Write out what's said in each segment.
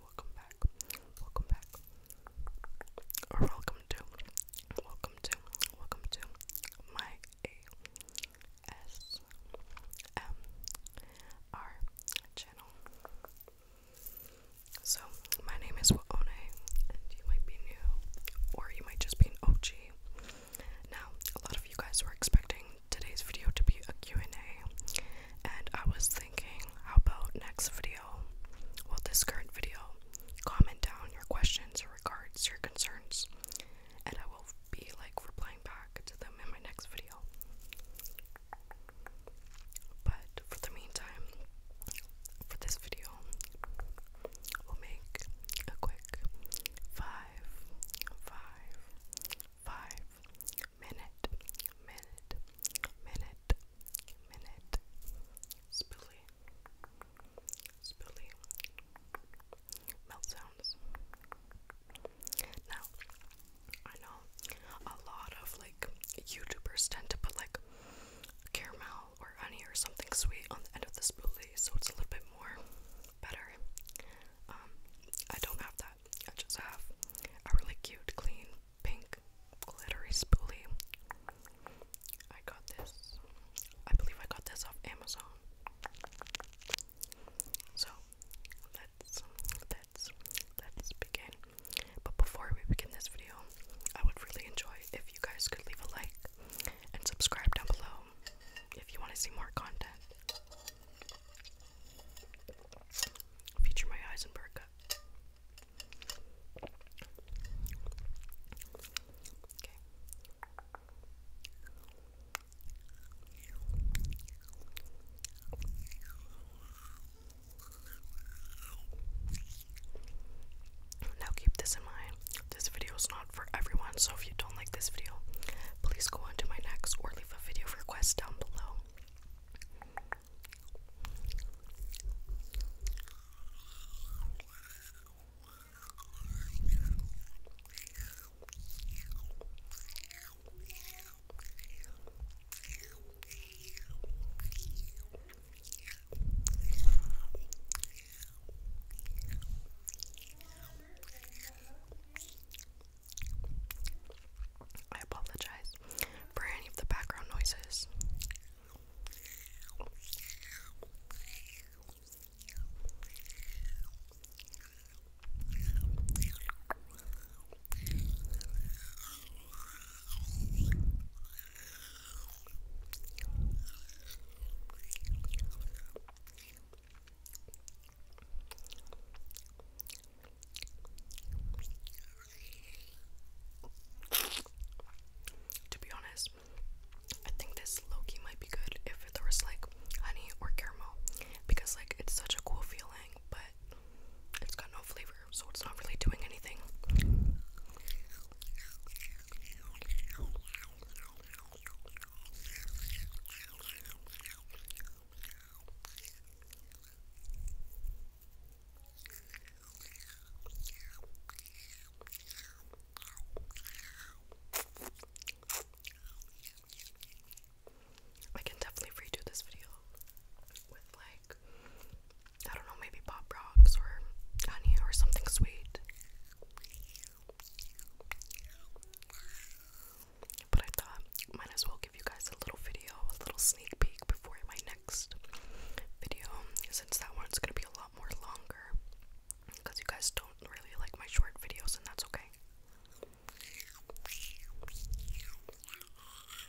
Welcome back. Welcome back. welcome to. Welcome to. Welcome to my ASMR channel. So, my name is Waone, and you might be new, or you might just be an OG. Now, a lot of you guys were expecting today's video to be a Q&A and I was thinking how about next video well this current video comment down your questions or regards your concerns and I will be like replying back to them in my next video but for the meantime for this video we'll make a quick five five five minute, minute, minute, minute, spilly, spilly, melt Now, I know a lot of like YouTubers tend to put like caramel or honey or something sweet on the end of the spoolie, so it's a little bit more better. Um, I don't have that. I just have a really cute, clean, pink, glittery spoolie. I got this. I believe I got this off Amazon. So let's let's let's begin. But before we begin this video, I would really enjoy if you guys could leave a like and subscribe down below if you want to see more content. Feature my eyes and burka. Okay. Now keep this in mind. This video is not for everyone, so if you don't like this video, please go on to my next or leave a video request down below. I apologize for any of the background noises. To be honest, I think this Loki might be good if there was like honey or caramel because like it's such a cool feeling, but it's got no flavor, so it's not really doing anything. I can definitely redo this video with like I don't know, maybe pop rocks or honey or something sweet. But I thought might as well give you guys a little video, a little sneak peek before my next video, since that one's gonna be a lot more longer. Because you guys don't really like my short videos, and that's okay.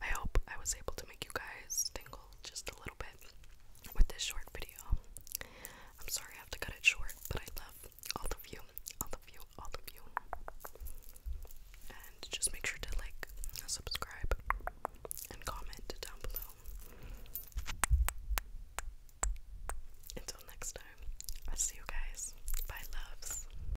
I hope I was able to make you guys tingle just a little bit with this short video. I'm sorry I have to cut it short, but I love all of you, all of you, all of you. And just make sure to like, subscribe, and comment down below. Until next time, I'll see you guys. Bye, loves.